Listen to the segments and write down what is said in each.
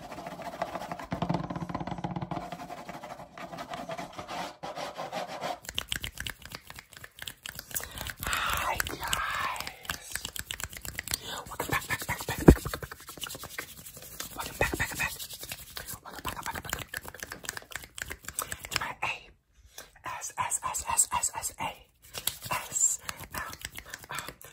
Hi guys! Welcome back, back, back, back, back, back, back. Welcome back, back, back. Welcome back, back, back, back. To my A. S, S, S, S, S, S, A. S, M, um, O, um,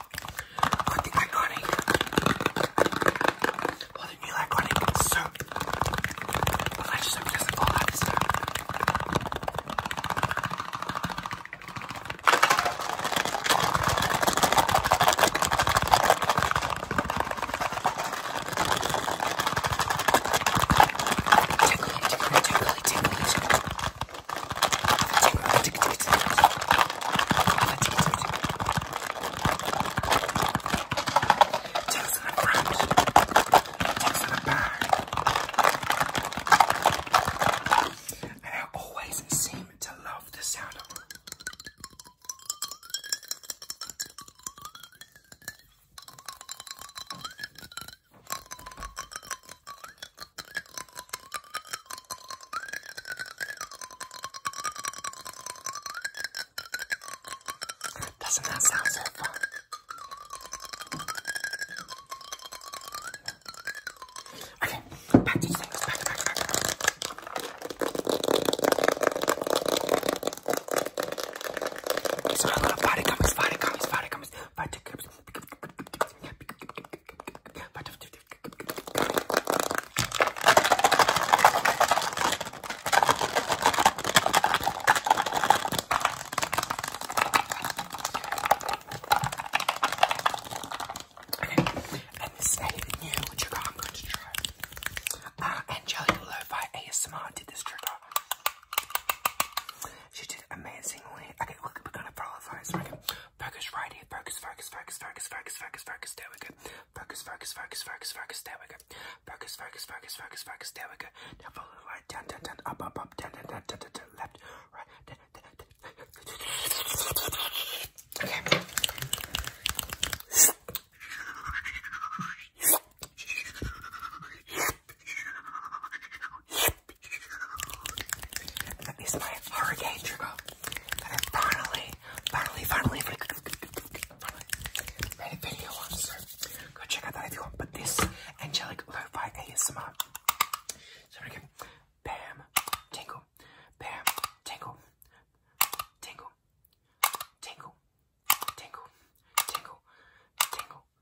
But the iconic, well, the new iconic soap was actually soap doesn't fall out this time. Tickly, tickly, tickly, tickly, tickly. Takes in a front, takes in a back. And I always seem to love the sound of it. Doesn't that sound so fun? Okay, back to things. Back, back, back. It's not a lot body comics, body comics, body comics, body comics and this is anything new, trigger I'm going to try. Uh, Angelica Lo-Fi ASMR did this trigger. She did amazingly. Okay, look, we're gonna follow Focus right here. Focus, focus, focus, focus, focus, focus, focus. There we go. Focus, focus, focus, focus, focus. There we go. Focus, focus, focus, focus, focus. There we go. Now follow the light. Down, down, down. Up, up, up. Down, down, down. Down, down, down. Left, right. Down, down, down. Okay. That is my hurricane trigger. That I finally, finally, finally, finally made a video on. go check out that if you But this angelic lo-fi ASMR. So again, bam, tingle, bam, tingle, tingle, tingle, tingle, tingle, tingle,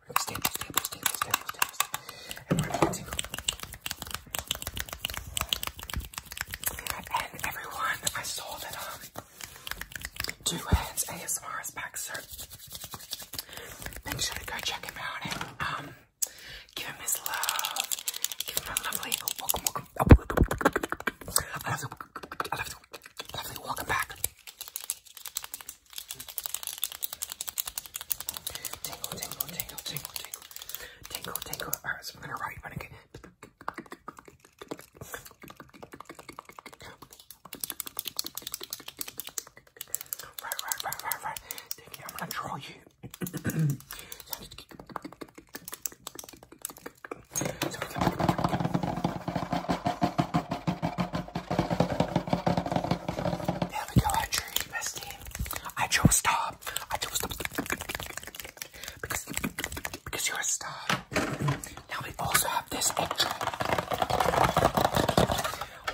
We're going to staple, staple, staple, And everyone, I saw that, um, Two Hands ASMR is back, so make sure to go check him out um, give him his love. Give him a lovely welcome, welcome. I Lovely welcome back. Tingle, tingle, tingle, tingle, tingle. Tingle, tingle. Alright, so I'm gonna write, but again. Right, right, right, right, right. Tinky, I'm gonna draw you. So, there we go. I chose bestie. I chose star. I chose star because because you're a star. Now we also have this extra,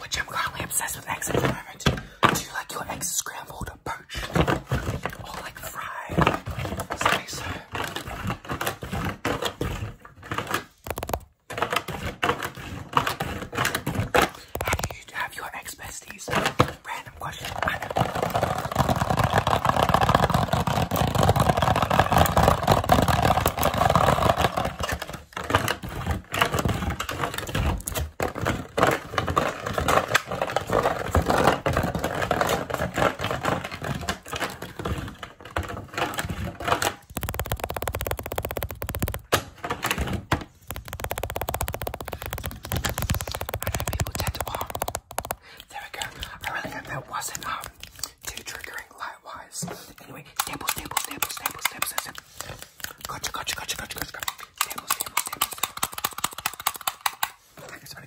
which I'm currently obsessed with eggs at the Do you like your eggs scrambled, poached, or like fried? Say how do you have your ex besties? Random question. I know. I know people tend to, oh, there we go. I really hope that wasn't um too triggering light-wise. Anyway, staples, staples, staples, staples, staples, staples. Gotcha, gotcha, gotcha, gotcha, gotcha, gotcha. Staples, staples, staples, staples. I think it's gonna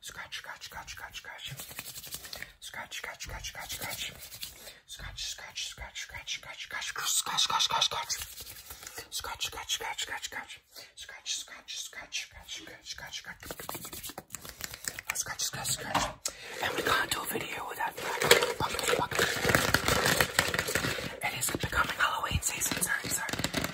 Scratch, scratch, scratch, scratch, scratch. Scratch, scratch, scratch, scratch, scratch. Scratch, scratch, scratch, scratch, scratch, scratch, scratch, scratch, scratch, scratch. Scratch, scratch, scratch, scratch, scratch. Scratch, scratch, scratch, scratch, scratch, scratch, scratch. Scratch, scratch, scratch. And we can't do a video without that. It is becoming Halloween season, sorry, sorry.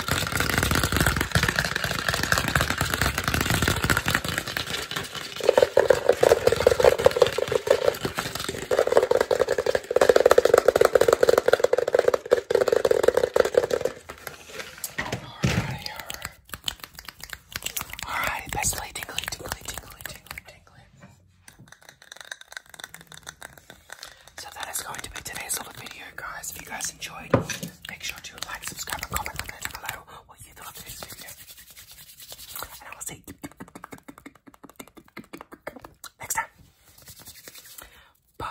Alrighty, alright. Alrighty, bestly tingly, tingly, tingly, tingly, tingly. So that is going to be today's little video, guys. If you guys enjoyed, make sure to like, subscribe, and comment down below what you thought of today's video. And I will see you next time. Bye.